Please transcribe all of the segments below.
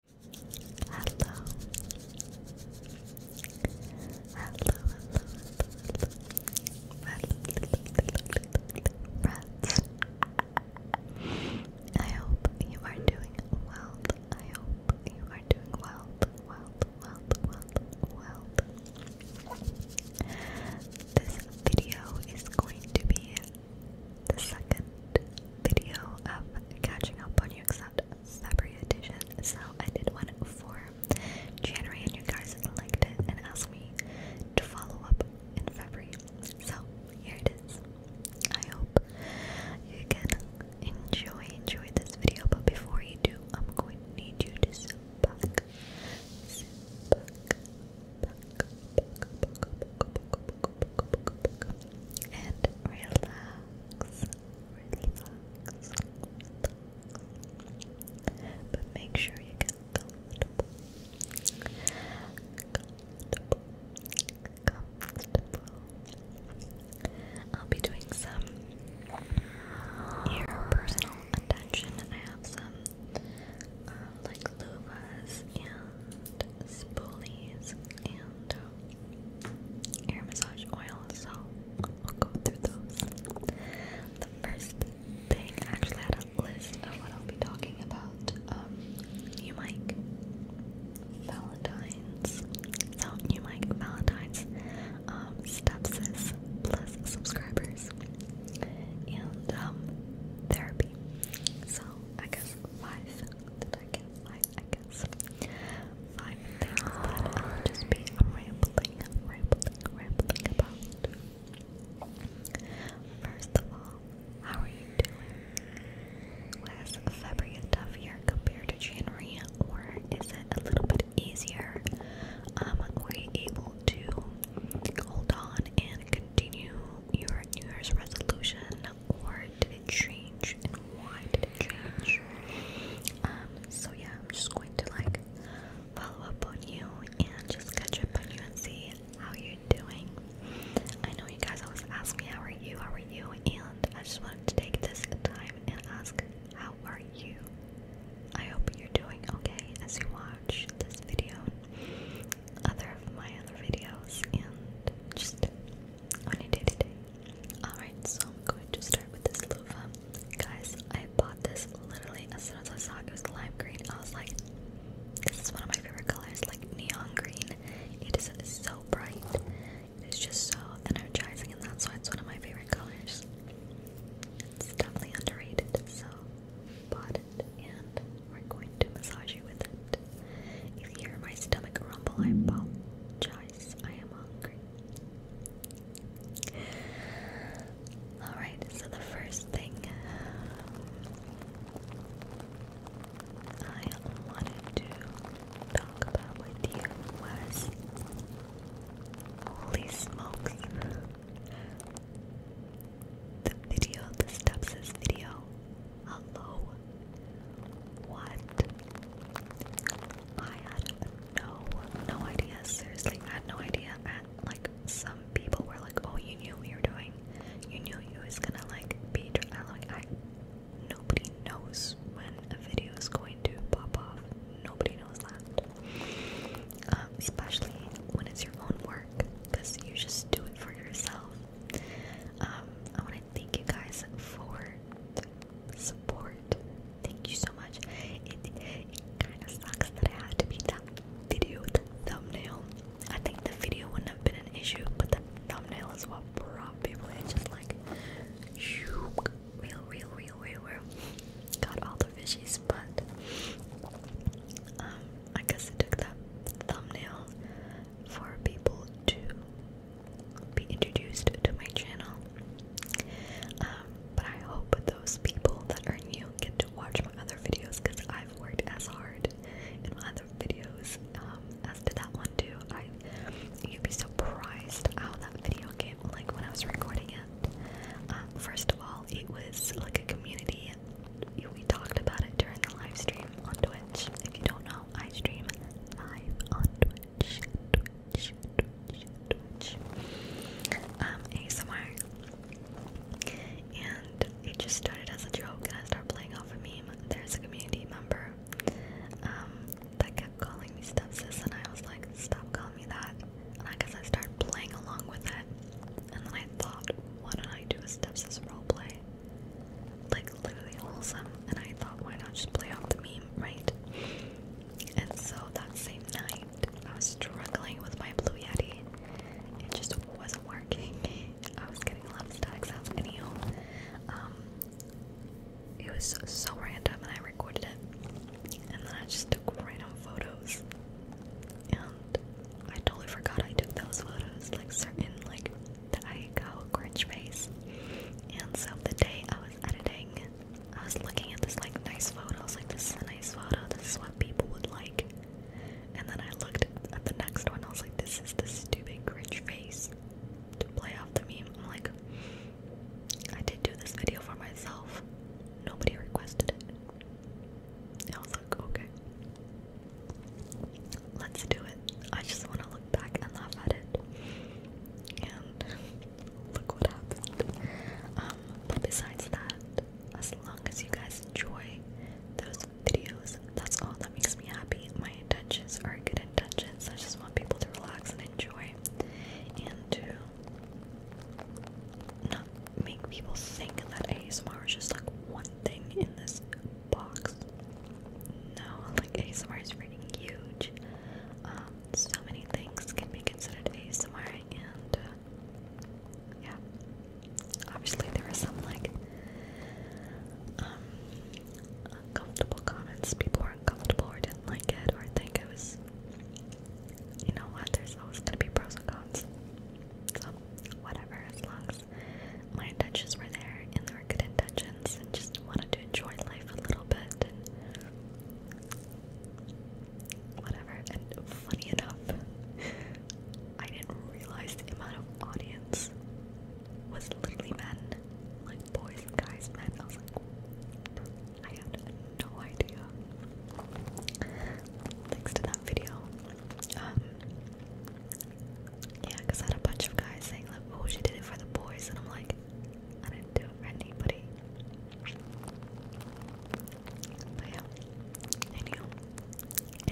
Hello. Hello, hello, hello, friends. I hope you are doing well. I hope you are doing well, well, well, well, well. This video is going to be the second video of catching up on you except February edition. So I did one for January and you guys liked it and asked me to follow up in February. So here it is. I hope you can enjoy enjoy this video, but before you do, I'm going to need you to sit and relax, relax, But make sure you get comfortable, comfortable, comfortable. I'll be doing some ear personal attention. I have some uh, like louvas and spoolies and air massage oil, so i will go through those. The first thing, I actually had a list of what I'll be talking about. Um, new mic, Valentine's, so new mic, Valentine's, um, stepsis, plus subscribers, and um, therapy. So I guess five that I can, I guess. Five things that will just be rambling, rambling, rambling about. First of all, how are you doing? Was February a tough year compared to January, or is it a little bit easier? Um, were able to hold on and continue your New Year's resolution or did it change and why did it change? Um, so yeah, I'm just going to like follow up on you and just catch up on you and see how you're doing. I know you guys always ask me how are you, how are you, and I just wanted to take this time and ask how are you? I hope you're doing okay as you watch this video, other of my other videos, and just Alright, so I'm going to start with this loofah. Guys, I bought this literally as soon as I saw it, it was lime green. I was like, this is one of my favorite colors, like neon green. It is so bright. It is just so energizing, and that's why it's one of my favorite colors. It's definitely underrated, so bought it and we're going to massage you with it. If you hear my stomach rumble, I apologize. I am hungry. Alright, so the first thing uh, I wanted to talk about with you was holy smokes. The video, the Stubbs's video Hello? What? I had no, no idea. Seriously, I had no idea. And like some people were like, "Oh, you knew what you were doing. You knew you was gonna like be." I'm like, I. Nobody knows when a video is going to pop off. Nobody knows that. Um, especially when it's your own work, because you just do it for yourself. Um, I want to thank you guys for support. Thank you so much. It, kind of sucks that I had to be that video thumbnail. I think the video wouldn't have been an issue, but the thumbnail is what brought people in. Just like, shoo, real, real, real, real, real. Got all the fishies, but um, I guess it took that thumbnail for people to be introduced to my channel. Um, but I hope those people that are new get to watch my other videos because I've worked as hard in my other videos um, as to that one too. I you'd be surprised how that video came like when I was recording it. Um, first of all, it was like a community we talked about it during the live stream on Twitch. If you don't know, I stream live on Twitch. Twitch. Um, ASMR. And it just started as a joke and I started playing off a meme. There's a community member um, that kept calling me stepsis and I was like, stop calling me that. And I guess I started playing along with it. And then I thought, why don't I do a stepsis roleplay? like literally wholesome and I thought why not just play off the meme, right? And so that same night I was struggling with my blue yeti. It just wasn't working. I was getting a lot of static sounds anyhow. Um it was so random and I recorded it. And then I just took random photos. And I totally forgot I took those photos. Like certain like that I go cringe face. And so the day I was editing, I was looking at this like nice photo. I was like, this is a nice photo. This is what people would like. And then I looked at the next one. I was like, this is the stupid cringe face to play off the meme. I'm like, I did do this video for myself. Nobody requested it. I was like, okay. Let's do it. I just want to look back and laugh at it. And look what happened. Um, but besides that, as long as you guys enjoy those videos, that's all that makes me happy. My intentions are good intentions. I just want people to relax and enjoy and to not make people think that ASMR is just like one thing in this box. No, like ASMR is pretty huge. Um, so many things can be considered ASMR, and uh, yeah, obviously there were some like um, uncomfortable comments. People were uncomfortable or didn't like it or think it was. You know what? There's always gonna be pros and cons. So whatever, as long my intentions were there, and they were good intentions, and just wanted to enjoy life a little bit and whatever. And funny enough, I didn't realize the amount of audience was literally men, like boys guys, men. Hmm, I had no idea. Thanks to that video, um, yeah, I had a bunch of guys saying, like, oh, she did it for the boys. And I'm like, I didn't do it for anybody. But yeah. Anywho.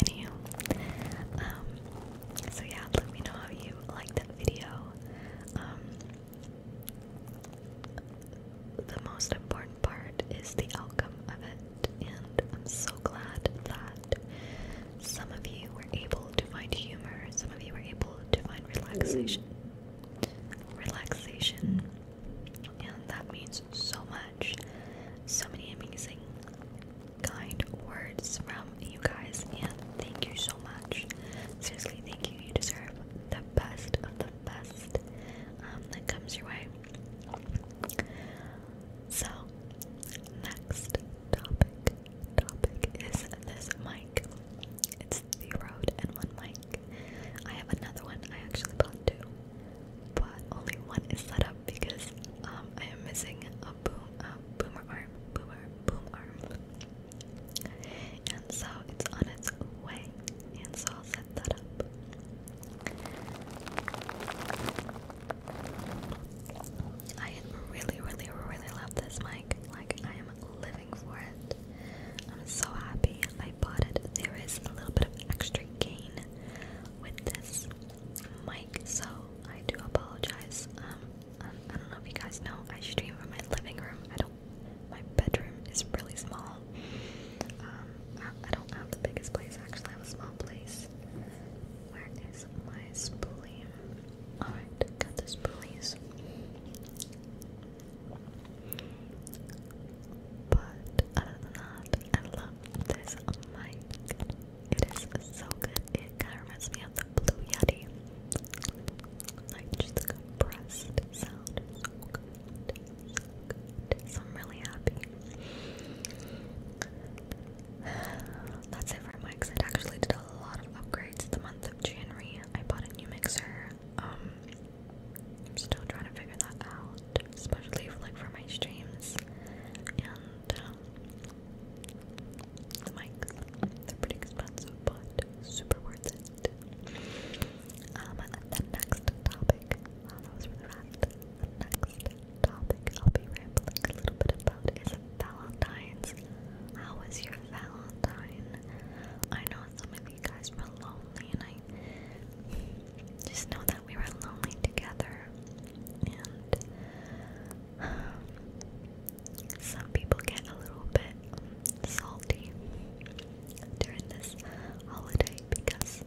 Anywho. Um, so yeah, let me know how you liked that video. Um, the most important part is the outcome of it and I'm so glad that some of you were able to find humor, some of you were able to find relaxation. Relaxation, and that means so much. So many amazing, kind words from you guys, and thank you so much. Seriously, thank you. You deserve the best of the best um, that comes your way. So, next topic topic is this mic. It's the Rode N1 mic. I have another one. I actually bought two, but only one is set up because um, I am missing a boom a boomer arm, boomer boom arm. And so it's on its way, and so I'll set that up. I really, really, really love this mic. Like, I am living for it. I'm so happy I bought it. There is a little bit of extra gain with this mic, so I do apologize. Um, I don't know if you guys know, I stream from my living room. I don't. My bedroom is really small. Um, I, don't have the biggest place. Actually, I have a small place. Where is my spoolie? Alright, got the spoolies. But other than that, I love this mic. It is so good. It kind of reminds me of the Blue Yeti. Like just the compressed sound. So good. So I'm really happy. That's it for my exit. Actually, did a lot of upgrades the month of January. I bought a new mixer. Um, I'm still trying to figure that out, especially for, like for my streams and um, the mics. They're pretty expensive, but super worth it. Um, and then next topic. Oh, that was really fast the next topic I'll be rambling a little bit about is Valentine's. How was your Valentine? I know some of you guys were lonely, and I just know that we were lonely together. And um, some people get a little bit salty during this holiday because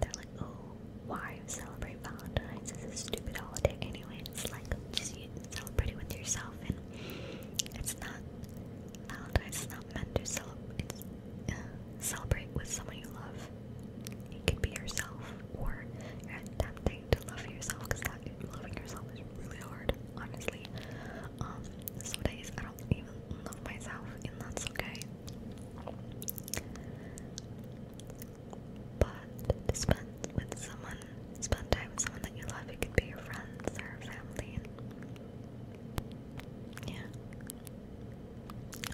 they're like, oh, why celebrate Valentine's? It's a stupid holiday anyway. it's like, just you celebrate it with yourself, and it's not Valentine's not meant to celebrate. Uh, celebrate with someone you love. It could be yourself, or you're attempting to love yourself because loving yourself is really hard, honestly. Um, some days I don't even love myself, and that's okay. But spend with someone, spend time with someone that you love. It could be your friends or family. Yeah.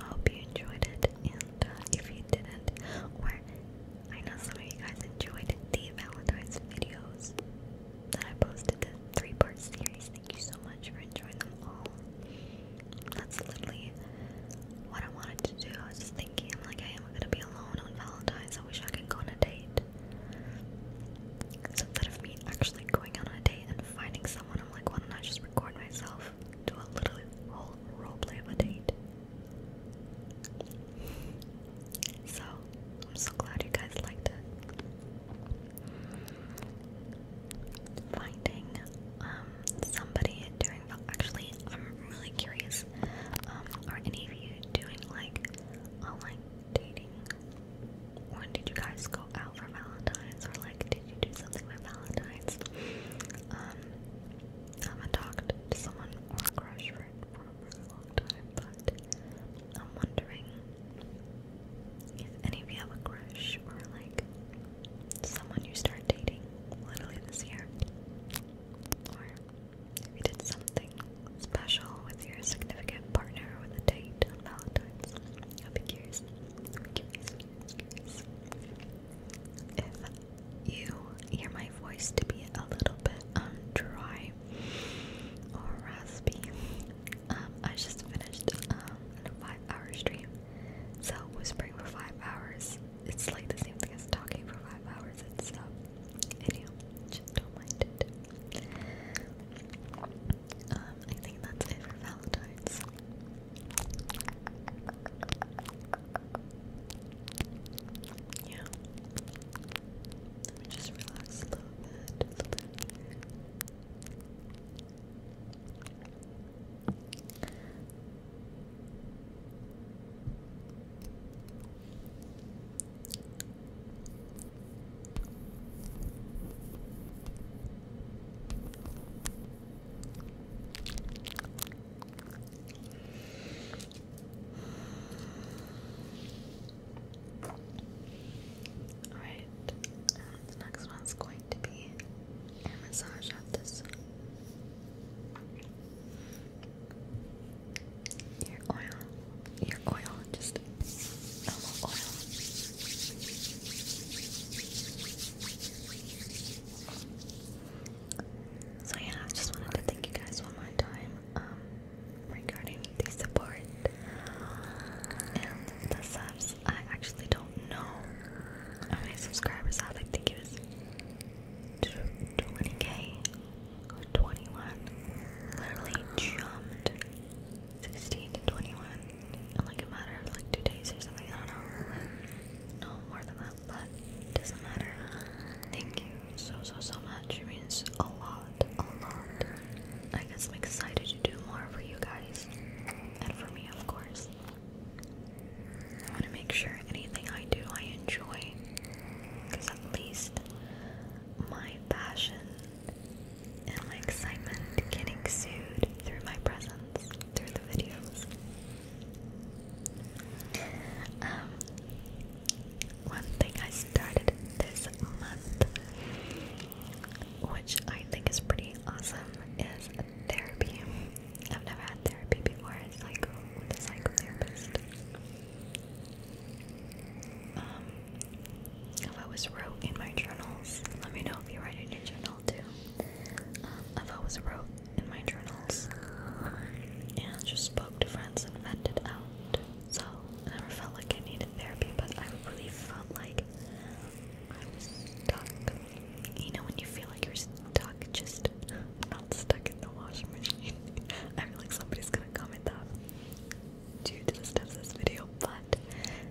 I hope you enjoyed it, and uh, if you didn't, or I know some of you guys enjoyed the Valentine's videos that I posted, the three-part series. Thank you so much for enjoying them all. That's literally what I wanted to do. I was just thinking, I'm like, I am gonna be alone on Valentine's. I wish I could go on a date. instead of me actually going on a date and finding someone, I'm like, why don't I just record myself? Do a little whole roleplay of a date. So, I'm so glad you guys liked it finding um, somebody doing actually I'm really curious. Um, are any of you doing like online dating? When did you guys go out for Valentine's or like did you do something for Valentine's? Um I have talked to someone crush for, for a really long time, but I'm wondering if any of you have a crush or like someone you start dating literally this year. Or you did something special with your significant partner or a date Valentine's. I'll be curious. Curious, If you hear my voice to be a little bit um, dry or raspy. Um, I just finished um, a five hour stream so whispering for five hours, it's like the same thing as talking for five hours. It's um, just don't mind it. Um, I think that's it for Valentine's. Yeah. just relax A little bit. Alright, and the next one's going to be a massage on this Your oil, your oil, just oil. So yeah, I just wanted to thank you guys one more time um, regarding the support and the subs I actually don't know. How subscribers have? I think it was 20k 21. Literally jumped 16 to 21 in like a matter of like two days or something. I don't know. No more than that, but doesn't matter. Thank you so, so, so much. It means a lot, a lot. I guess I'm excited to do more for you guys and for me, of course. I want to make sure anything I do I enjoy because at least my passion and my excitement can exude through my presence, through the videos. Um, one thing I started this month which I think is pretty awesome, is therapy. I've never had therapy before, it's like a psychotherapist. Um, i was wrote in my journals. Let me know if you write in your journal too. Um, I've always wrote in my journals and just spoke to friends and vented out. So I never felt like I needed therapy, but I really felt like stuck. You know when you feel like you're stuck, just not stuck in the washing machine. I feel like somebody's gonna comment that due to the steps of this video, but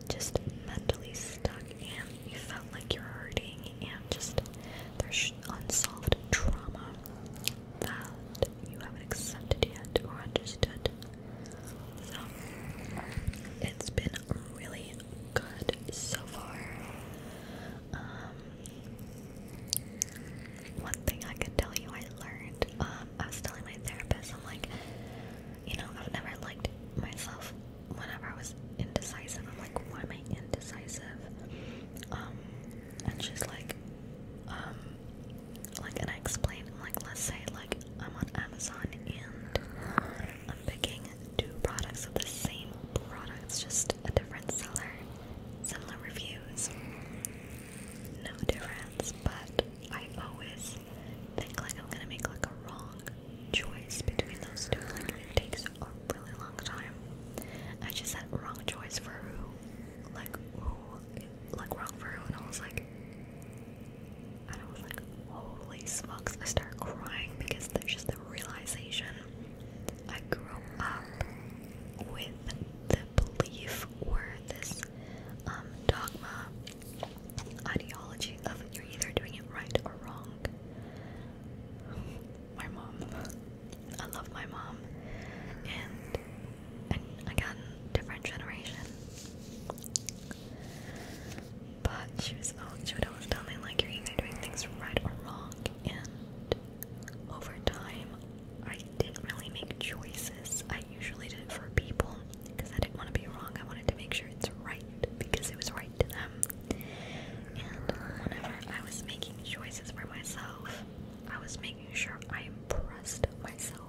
just mentally stuck and you felt like you're hurting and just there's unsolved trauma that you haven't accepted yet or understood it's been really good so far. Um, one thing I can tell you I learned, um, I was telling my therapist, I'm like, you know, I've never liked myself whenever I was indecisive. I'm like, why am I indecisive? Um, and she's like, um, like, and I explained, like, let's say, like, I'm on Amazon and I'm picking two products of the same products, just a different seller, similar reviews. No difference, but I always think like I'm gonna make like a wrong choice between those two. Like it takes a really long time. I just said wrong choice for who, like who, like wrong for who, and I was like, I was like, holy smokes, I started crying because there's just the realization I grew up with the belief or this um, dogma, ideology of you're either doing it right or wrong. My mom, I love my mom, and and again, different generation. But she was all she would always tell me like you're either doing things right or wrong and over time I didn't really make choices. I usually did for people because I didn't want to be wrong. I wanted to make sure it's right because it was right to them. And whenever I was making choices for myself, I was making sure I impressed myself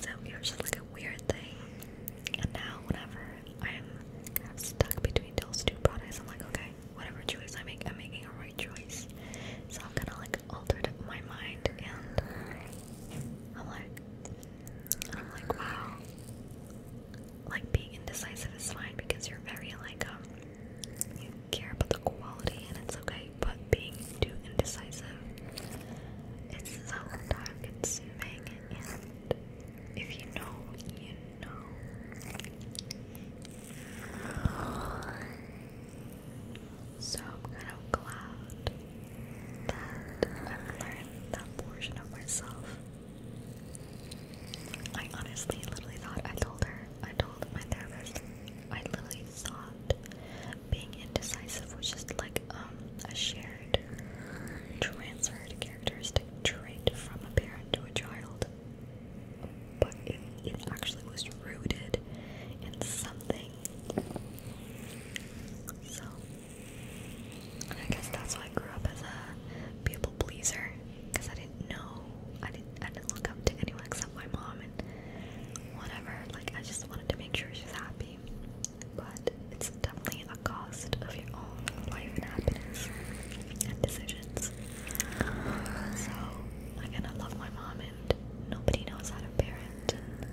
so it was just like a weird thing. And now whenever I'm kind of stuck between two products, I'm like, okay, whatever choice I make, I'm making a right choice. So I've kind of like altered my mind, and I'm like, I'm like, wow. Like being indecisive is fine because you're very like um you care about the quality and it's okay, but being too indecisive, it's so dark, if you know, you know. So I'm kind of glad that I've learned that portion of myself. I honestly literally thought I told her, I told my therapist, I literally thought being indecisive was just like um, a shared transferred characteristic trait from a parent to a child. But it, it actually was rooted in something. So I guess that's why I grew up as a people pleaser. Because I didn't know I didn't I didn't look up to anyone except my mom and whatever. Like I just wanted to make sure she's happy but it's definitely a cost of your own life and happiness and decisions. So, again, I love my mom, and nobody knows how to parent. And,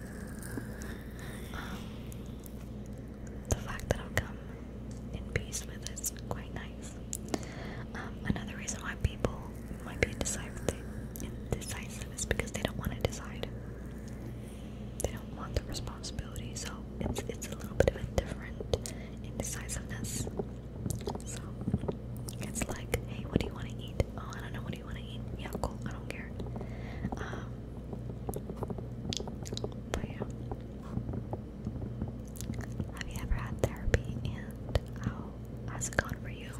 um, the fact that I've come in peace with is quite nice. Um, another reason why people might be indecisive, indecisive is because they don't want to decide. They don't want the responsibility, so it's it's a little bit of a different indecisiveness. So it's like, hey, what do you want to eat? Oh, I don't know. What do you want to eat? Yeah, cool. I don't care. Um, but yeah, have you ever had therapy? And how has it gone for you?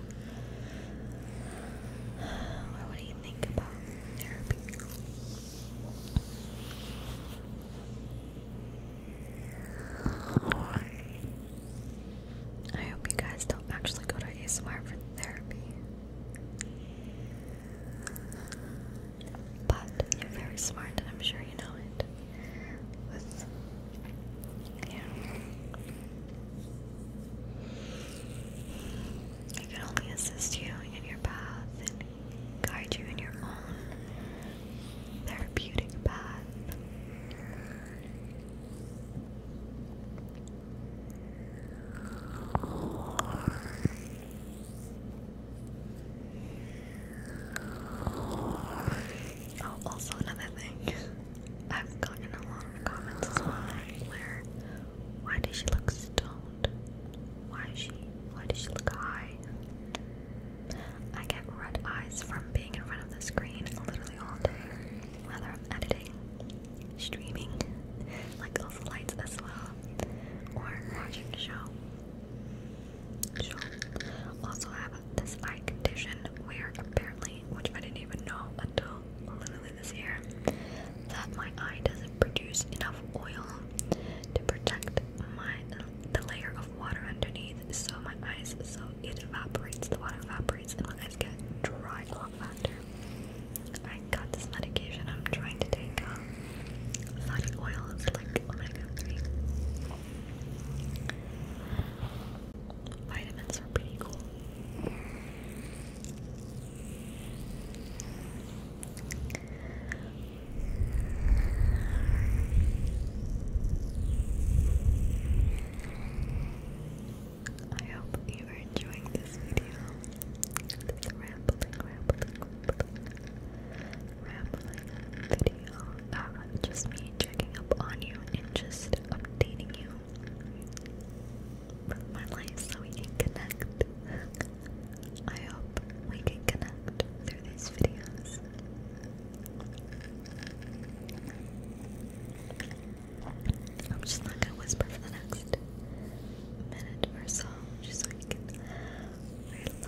what do you think about therapy? I hope you guys don't actually go to ASMR for therapy. But you're very smart and I'm sure you know it. With, it can only assist you in your path and guide you in your own therapeutic path. Oh, also another thing. I've gotten a lot of comments as well where why does she look stoned? Why she why does she look high? I get red eyes from being in front of the screen literally all day, whether I'm editing, streaming, like those lights as well, or watching a show. Also have this eye condition where apparently which I didn't even know until literally with his that my eye doesn't produce enough oil to protect my the layer of water underneath so my eyes so it evaporates the water evaporates and my eyes get dry a lot faster I got this medication I'm trying to take um, fatty oil it's like omega 3 vitamins are pretty cool I hope you are enjoying this video. This rambling, rambling, rambling, video. Uh, just me checking up on you and just updating you my life so we can connect. I hope we can connect through these videos. I'm just not gonna whisper for the next minute or so, just so relax.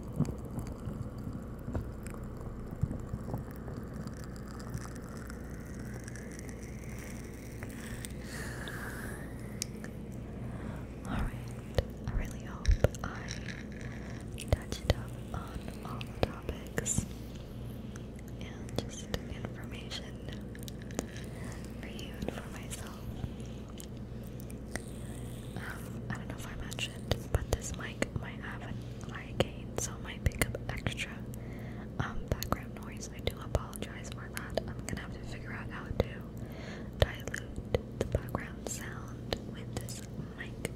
Alright, I really hope I touched up on all the topics and just information for you and for myself. Um, I don't know if I mentioned, but this mic might have an eye gain, so it might pick up extra um, background noise. I do apologize for that. I'm gonna have to figure out how to dilute the background sound with this mic.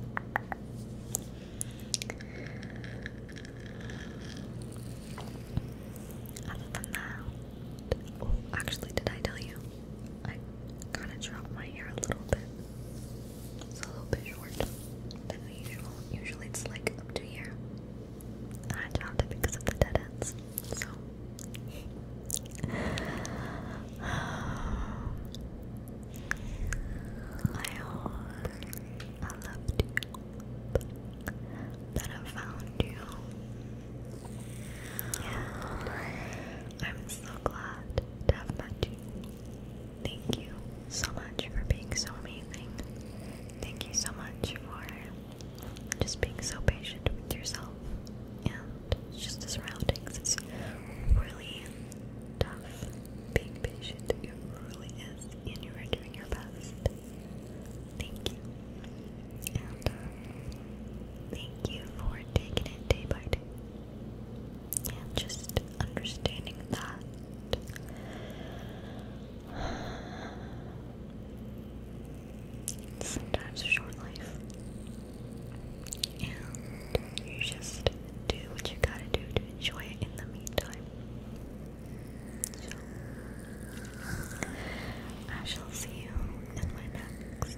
Other than that, oh, actually, did I tell you? I kind of drop my hair a little bit. It's a little bit short than usual. Usually it's like up to here. And I dropped it because of the dead ends. So. I loved you. That I found you. I'm so glad to have met you. Thank you so much for being so amazing. Thank you so much for just being so patient with yourself and just the surroundings. It's really tough being patient. It really is, and you are doing your best. Thank you. And uh, thank you for taking it day by day. And just understanding that sometimes a short life. And you just do what you gotta do to enjoy it in the meantime. So, I shall see you in my next